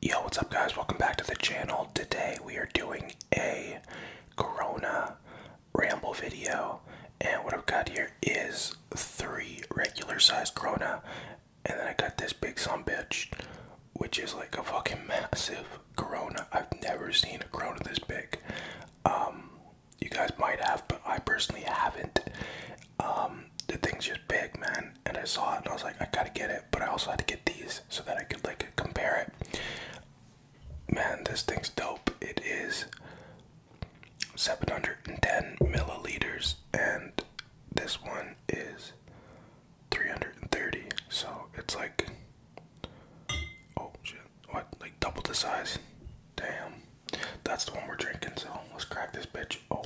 Yo, what's up, guys? Welcome back to the channel. Today we are doing a Corona ramble video, and what I've got here is three regular sized Corona, and then I got this big son bitch, which is like a fucking massive Corona. I've never seen a Corona this big. Um, you guys might have, but I personally haven't. Um, the thing's just big, man. And I saw it and I was like, I gotta get it, but I also had to get these so that I could like compare it. Man, this thing's dope. It is 710 milliliters, and this one is 330. So it's like, oh shit, what? Like double the size? Damn. That's the one we're drinking, so let's crack this bitch open.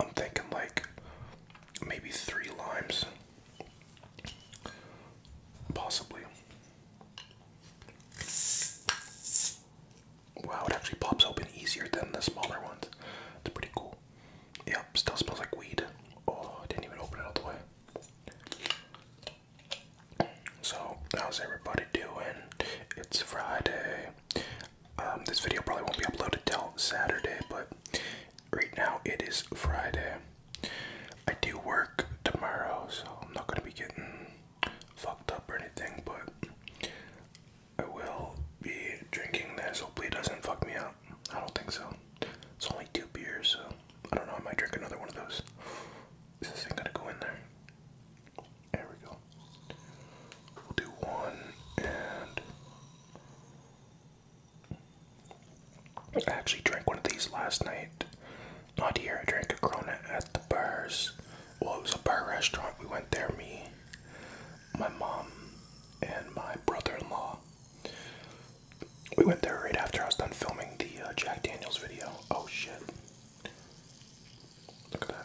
I'm thinking like maybe three limes, possibly. Wow, it actually pops open easier than the smaller ones. It's pretty cool. Yep, still smells like weed. Oh, didn't even open it all the way. So, how's everybody doing? It's Friday. Um, this video probably won't be uploaded till Saturday, but right now it is Friday. I do work tomorrow, so I'm not going to be getting fucked up or anything, but I will be drinking this. Hopefully, it doesn't fuck me up. I don't think so. It's only two beers, so I don't know, I might drink another one of those. this thing gonna go in there? There we go. We'll do one and. I actually drank one of these last night. Not here, I drank a Corona at the bars. Well, it was a bar restaurant. We went there, me, my mom, and my brother in law. We went there right after I was done filming the uh, Jack Daniels video. Oh shit. Look at that.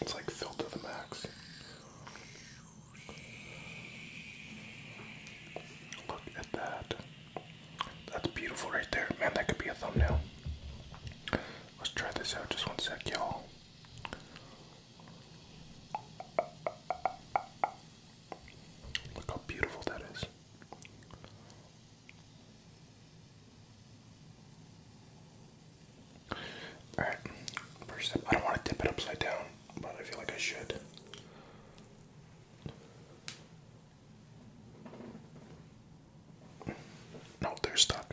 It's like filled to the max. Look at that. That's beautiful right there. Man, that could be a thumbnail. Let's try this out just one sec, y'all. Look how beautiful that is. Alright, first step. I don't want to dip it upside down, but I feel like I should. No, they're stuck.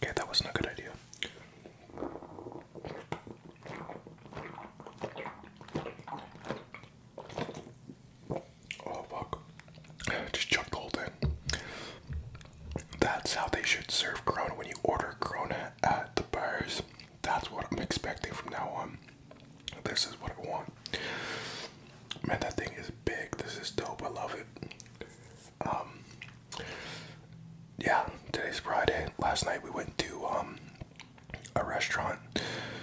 Okay, that wasn't a good idea. Oh fuck. Just chucked the That's how they should serve Corona when you order Corona at the bars. That's what I'm expecting from now on. This is what I want. Man, that thing is big. This is dope. I love it. Um, yeah, today's Friday. Last night we went to um, a restaurant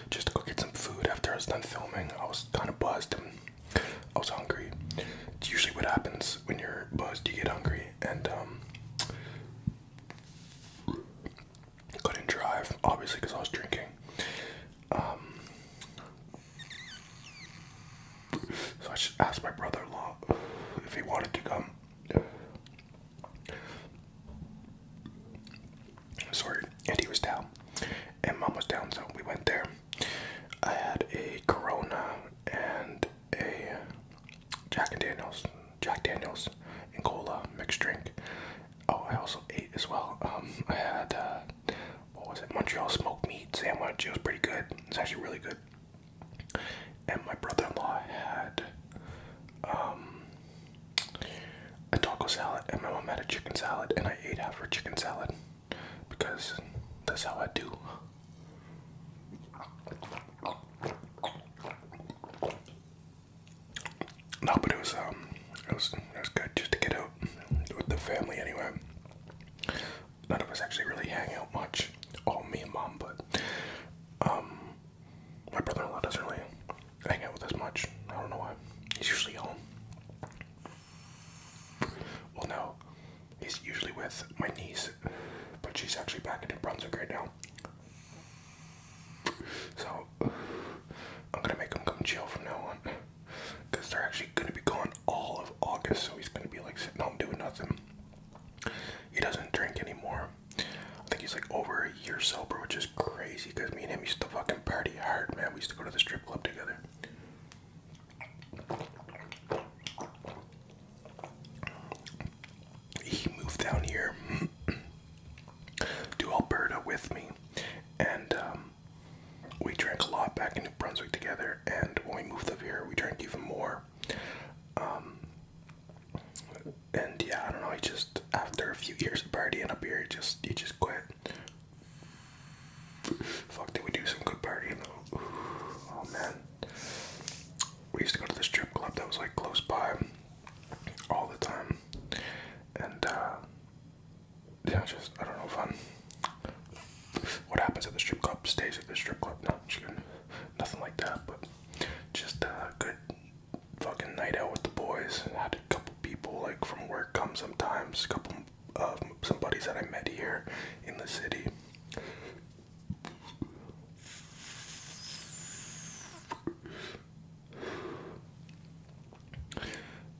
just to go get some food after I was done filming. I was kind of buzzed and I was hungry. It's usually what happens when you're buzzed, you get hungry, and um, couldn't drive, obviously, because I was drinking. Um, so I just asked my brother-in-law if he wanted to come. Sorry, and he was down, and mom was down, so we went there. I had a Corona and a Jack and Daniels, Jack Daniels and cola mixed drink. Oh, I also ate as well. Um, I had uh, what was it? Montreal smoked meat sandwich. It was pretty good. It's actually really good. And my brother-in-law had um, a taco salad, and my mom had a chicken salad, and I ate half her chicken salad because that's how I do. No, but it was um, it was it was good just to get out with the family anyway. None of us actually really hang out much. All me and mom, but um, my brother-in-law doesn't really hang out with us much. I don't know why. He's usually home. Well, no, he's usually with my niece, but she's actually back in Brunswick right now. So I'm gonna make him come chill from now on, cause they're actually gonna be gone all of August. So he's gonna be like sitting home doing nothing. He doesn't drink anymore. I think he's like over a year sober, which is crazy. Cause me and him used to fucking party hard, man. We used to go to the strip club together he moved down here to Alberta with me, and um, we drank a lot back in New Brunswick together. And when we moved up here, we drank even more. Um, and yeah, I don't know. He just after a few years of partying up here, he just he just quit. Fuck, did we do some good partying? Oh man, we used to go to the strip club that was like close by all the time, and uh, yeah, just I don't know, if I'm. What happens at the strip club stays at the strip club. No, just nothing like that, but just a good fucking night out with the boys. And had a couple people like from work come sometimes. A couple of uh, some buddies that I met here in the city.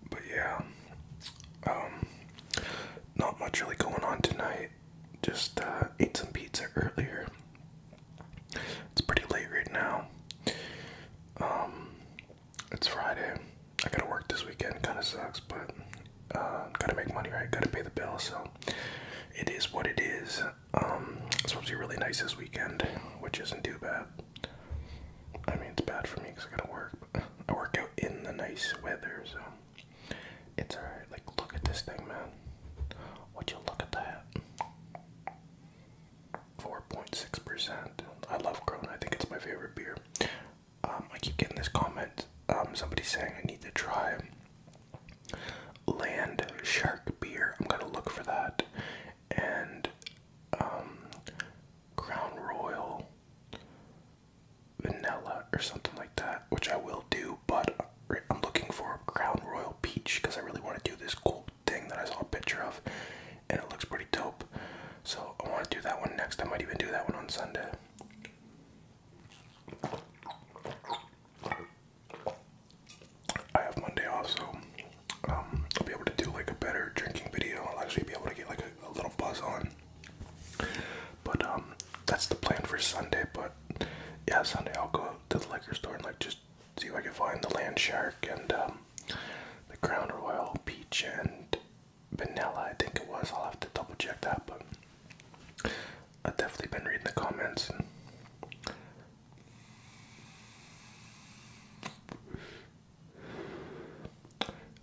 But yeah, um, not much really going on tonight. Just uh, ate some pizza earlier. It's pretty late right now. Um, it's Friday. I gotta work this weekend. Kind of sucks, but uh, gotta make money, right? Gotta pay the bill, so it is what it is it's supposed to be really nice this weekend, which isn't too bad. I mean, it's bad for me because I gotta work. I work out in the nice weather, so it's alright. Like, look at this thing, man. Would you look at that? 4.6%. I love Corona. I think it's my favorite beer. Um, I keep getting this comment. Um, somebody saying I need to try Land Shark Beer. I'm gonna look for that. And um, Crown Royal Vanilla or something like that, which I will do, but I'm looking for Crown Royal Peach because I really want to do this cool thing that I saw a picture of and it looks pretty dope. So I want to do that one next. I might even do that one on Sunday. I have Monday off, so um, I'll be able to do like a better drinking video. I'll actually be able to get like a, little buzz on. But um, that's the plan for Sunday. But yeah, Sunday I'll go to the liquor store and like just see if I can find the land shark and um, the crown royal peach and vanilla. I think it was. I'll have to double check that, but. I've definitely been reading the comments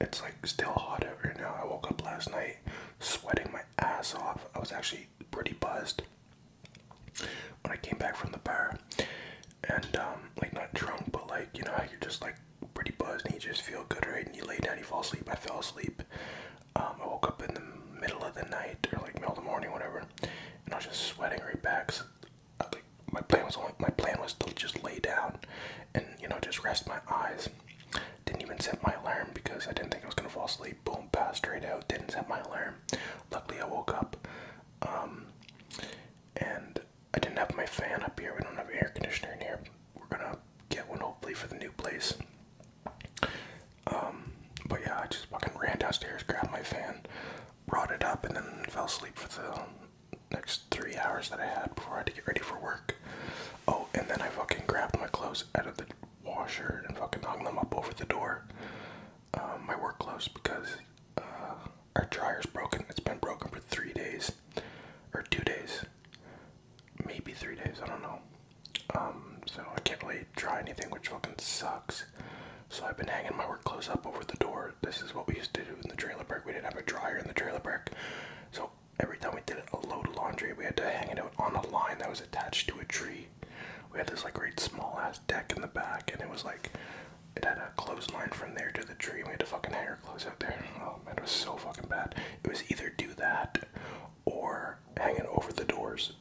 it's like still hot out right now. I woke up last night sweating my ass off. I was actually pretty buzzed when I came back from the bar. And um, like not drunk but like you know you're just like pretty buzzed and you just feel good right and you lay down, you fall asleep. I fell asleep. Um, I woke up in the middle of the night or like middle of the morning, whatever and I was just sweating right back. So, my plan was only, my plan was to just lay down, and you know just rest my eyes. Didn't even set my alarm because I didn't think I was gonna fall asleep. Boom, passed straight out. Didn't set my alarm. Luckily, I woke up. Um, and I didn't have my fan up here. We don't have air conditioner in here. We're gonna get one hopefully for the new place. Um, but yeah, I just fucking ran downstairs, grabbed my fan, brought it up, and then fell asleep for the next three hours that I had before I had to get ready for work. Oh, and then I fucking grabbed my clothes out of the washer and fucking hung them up over the door. Um, my work clothes because uh, our dryer's broken. It's been broken for three days or two days, maybe three days. I don't know. Um, so I can't really dry anything, which fucking sucks. So I've been hanging my work clothes up over the door. This is what we used to do in the trailer park. We didn't have a dryer in the trailer park. So every time we did a load of laundry, we had to hang it out on a line that was attached to a tree. We had this like great small ass deck in the back, and it was like it had a clothesline from there to the tree, we had to fucking hang our clothes out there. Oh man, it was so fucking bad. It was either do that or hang it over the doors.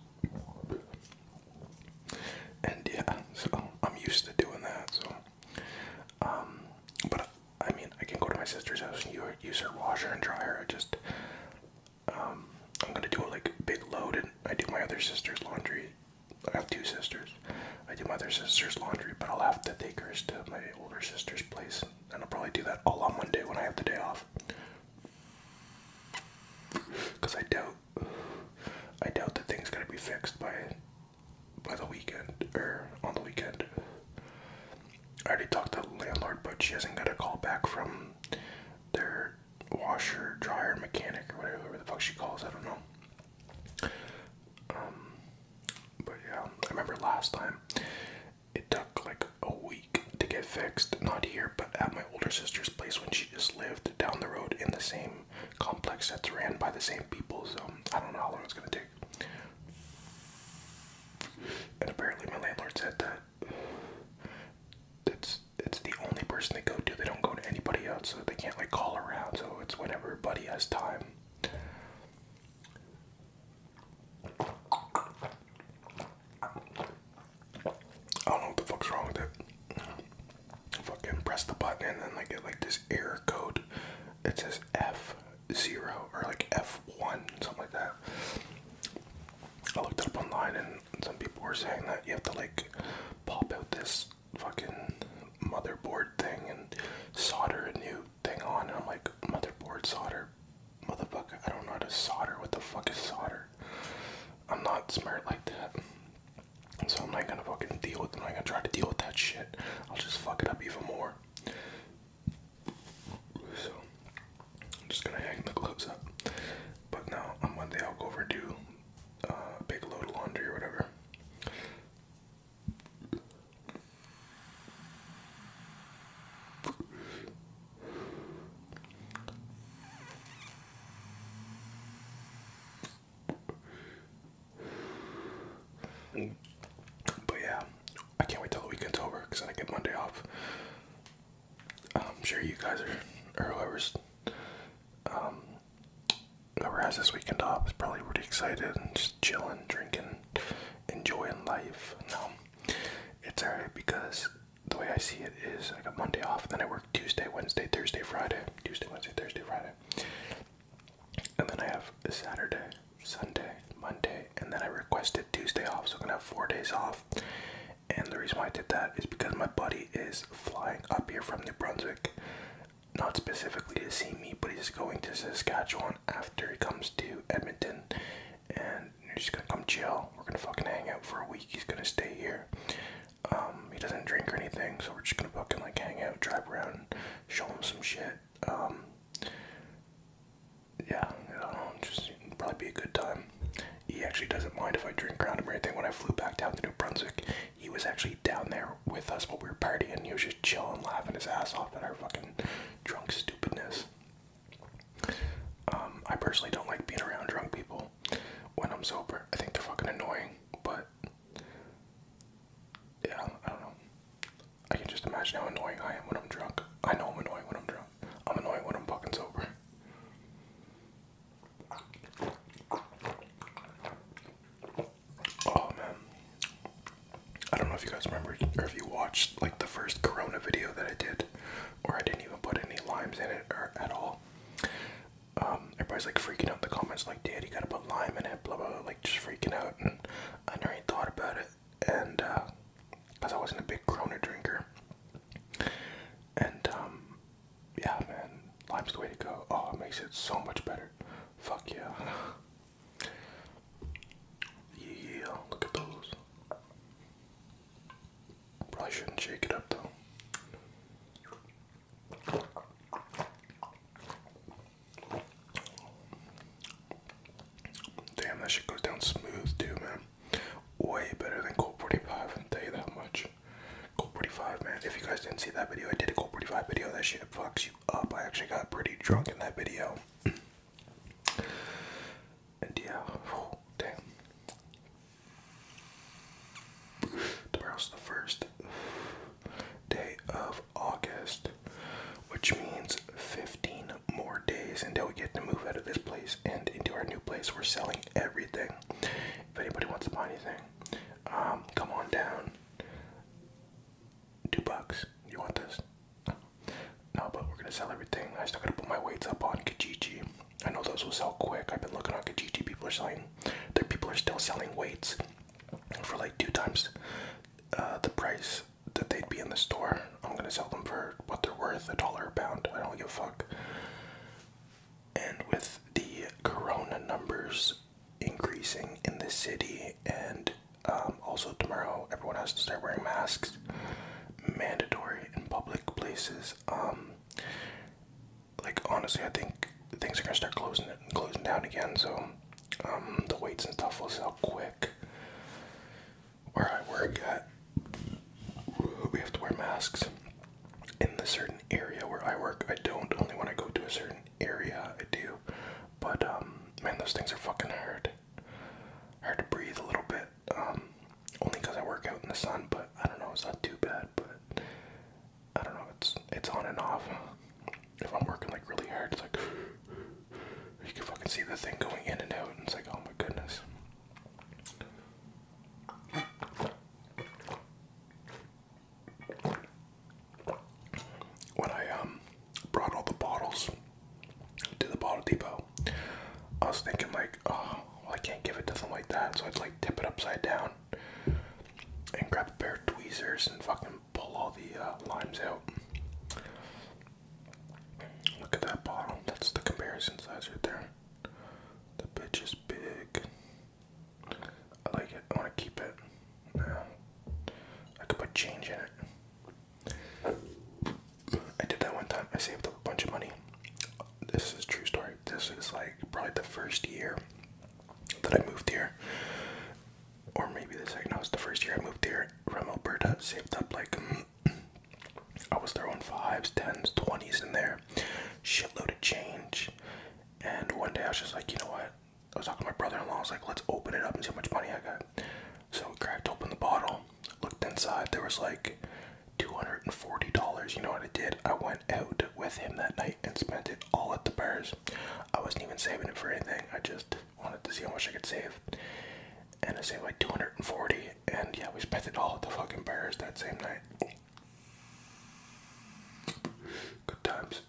And yeah, so I'm used to doing that. So, um, but I mean, I can go to my sister's house and use her washer and dryer. I just, um, I'm gonna do a big load, and I do my other sister's laundry. I have two sisters. I do my other sister's laundry, but I'll have to take her to my older sister's place, and I'll probably do that all on Monday when I have the day off. Because I doubt I doubt the thing's gonna be fixed by by the weekend or on the weekend. I already talked to the landlord, but she hasn't got a call back from their washer, dryer, mechanic, or whatever, the fuck she calls. I don't know. Um, but yeah, I remember last time it took like a week to get fixed. Not here, but at my older sister's place when she just lived down the road in the same complex that's ran by the same people, so I don't know how long it's gonna take. And apparently my landlord said that it's it's the only person they go to. They don't go to anybody else, they can't like call around, so it's when everybody has time. I don't know what the fuck's wrong with it. Fucking press the button and then I get like this error code. It says F0 or like F1, something like that. I looked it up online and some people were saying that you have to like pop out this fucking motherboard thing and solder a new thing on. And I'm like, motherboard solder? Motherfucker, I don't know how to solder. What the fuck is solder? I'm not smart like that. So I'm not gonna fucking deal with I'm not gonna try to deal with that shit. I'll just fuck it up even more. So I'm just gonna hang the clothes up. But now on Monday I'll go over do uh, a big load of laundry or whatever. But yeah, I can't wait till the weekend's over because I get Monday off. I'm sure you guys are, or whoever's, um, whoever has this weekend off is probably really excited and just chilling, drinking, enjoying life. No, it's alright because the way I see it is I got Monday off, then I work Tuesday, Wednesday, Thursday, Friday, Tuesday, Wednesday, Thursday, Friday, and then I have Saturday, Sunday, Monday, and then I requested Tuesday off, so I'm gonna have four days off. And the reason why I did that is because my buddy is flying up here from New Brunswick, not specifically to see me, but he's going to Saskatchewan after he comes to Edmonton, and he's gonna come chill. We're gonna fucking hang out for a week. He's gonna stay here. Um, he doesn't drink or anything, so we're just gonna book him like hang out, drive around, show him some shit. Um, yeah, I um, do just probably be a good time. He actually doesn't mind if I drink around him or anything. When I flew back down to New Brunswick, he was actually down there with us while we were partying. He was just chilling, laughing his ass off at our fucking drunk stupidness. I personally don't like being around drunk people when I'm sober. I think they're fucking annoying, but yeah, I don't know. I can just imagine how annoying I am when I'm drunk. I know I'm annoying when I'm drunk. I'm annoying when I'm fucking sober. Oh man. I don't know if you guys remember or if you watched like the first corona video that I did, or I didn't even put any limes in it or at all. Um, everybody's like freaking out in the comments, like, dude, you gotta put lime in it, blah blah, like just freaking out. And I never even thought about it, and uh, because I wasn't a big Corona drinker. And um, yeah, man, lime's the way to go. Oh, it makes it so much better. Fuck yeah. Yeah, look at those. Probably shouldn't shake it up though. Damn, that shit goes down smooth too, man. Way better than Cold 45, i tell you that much. Cold 45, man. If you guys didn't see that video, I did a Cold 45 video. That shit fucks you up. I actually got pretty drunk in that video. damn. Tomorrow's the first day of August, which means 15 more days until we get to move out of this place and into our new place. We're selling everything. If anybody wants to buy anything, um, come on down. Two bucks. You want this? No, but we're gonna sell everything. I still gotta put my weights up on Kijiji. I know those will sell quick. I've been looking on Kijiji. People are selling. Their people are still selling weights for like two times uh, the price that they'd be in the store. I'm gonna sell them for what they're worth, a dollar a pound. I don't give a fuck. And with the corona numbers increasing in the city, and um, also tomorrow everyone has to start wearing masks, mandatory in public places. Um, like honestly, I think things are gonna start closing closing down again. So um, the weights and stuff will sell quick. Where I work at, we have to wear masks. In the certain area where I work, I don't. Only when I go to a certain area, I do. But um, man, those things are fucking hard. Hard to breathe a little bit. Um, only because I work out in the sun. But I don't know, it's not too bad. But I don't know, it's it's on and off. If I'm working like really hard, it's like you can fucking see the thing going in and out, and it's like, oh my goodness. When I um brought all the bottles to the bottle depot, I was thinking like, oh, well, I can't give it to them like that, so I'd like tip it upside down and grab a pair of tweezers and fucking pull all the uh, limes out. Look at that bottle. That's the comparison size right there. The bitch is big. I like it. I want to keep it. Now, I could put change in it. I did that one time. I saved up a bunch of money this is true story. This is like probably the first year that I moved here, or maybe the second. No, was the first year I moved here from Alberta. Saved up like I was throwing fives, tens, twenties in there, shitload of change. And one day I was just like, you know what? I was talking to my brother-in-law. I was like, let's open it up and see how much money I got. So we cracked open the bottle, looked inside. There was like $240. You know what I did? I went out with him that night and spent it all at the bars. I wasn't even saving it for anything. I just wanted to see how much I could save. And I saved like 240 and yeah, we spent it all at the fucking bars that same night. Good times.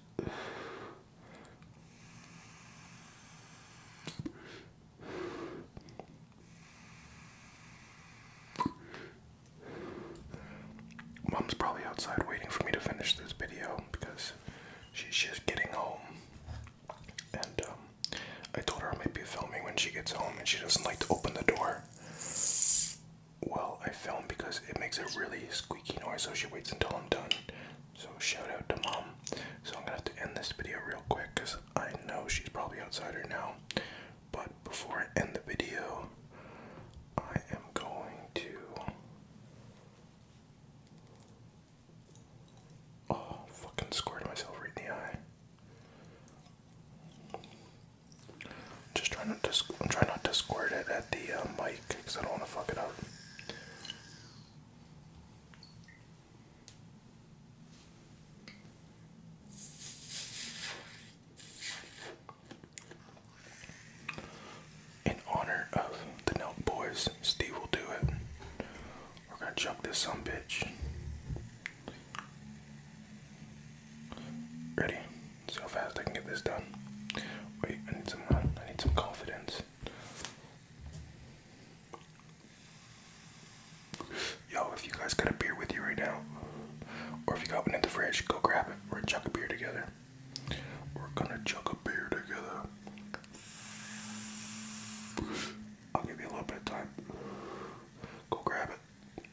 Mom's probably outside waiting for me to finish this video because she's just getting home. And um, I told her I might be filming when she gets home and she doesn't like to open the door. Well, I film because it makes a really squeaky noise, so she waits until I'm done. So, shout out to mom. So, I'm gonna have to end this video real quick because I know she's probably outside her now. But before I end the video, I am going to. Oh, fucking squared myself in the eye. Just trying not to, I'm trying not to squirt it at the uh, mic because I don't want to fuck it up. In honor of the Nelk Boys, Steve will do it. We're gonna chuck this some bitch. Ready? See how fast I can get this done. Wait, I need some. I need some confidence. Yo, if you guys got a beer with you right now, or if you got one in the fridge, go grab it. We're gonna chug a beer together. We're gonna chug a beer together. I'll give you a little bit of time. Go grab it.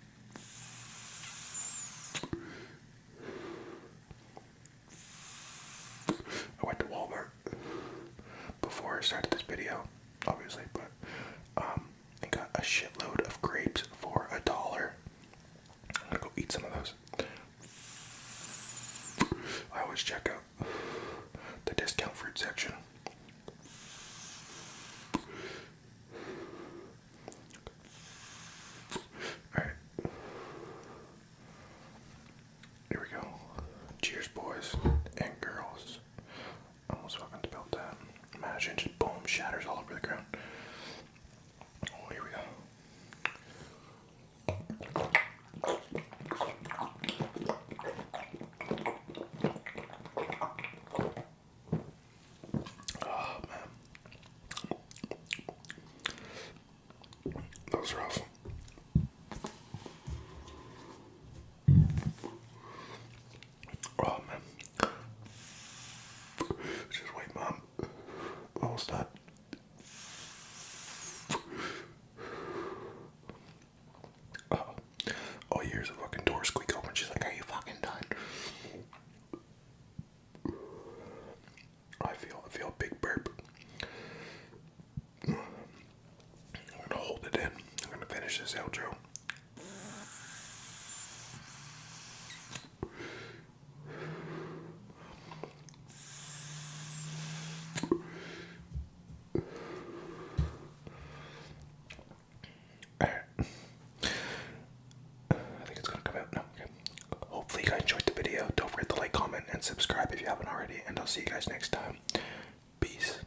I went to Walmart before I started this video, obviously, but um, I got a shitload of grapes for a dollar. I'm gonna go eat some of those. I always check out the discount fruit section. Alright. Here we go. Cheers, boys and girls almost fucking build that. Imagine just boom, shatters all over the ground. Oh, here we go. Oh man, that was rough. Oh man. Just wait, Mom. Almost done. oh. Oh, you fucking door squeak open. She's like, Are you fucking done? I feel I feel a big burp. I'm gonna hold it in. I'm gonna finish this outro. I think it's gonna come out now. Okay. Hopefully, you guys enjoyed the video. Don't forget to like, comment, and subscribe if you haven't already. And I'll see you guys next time. Peace.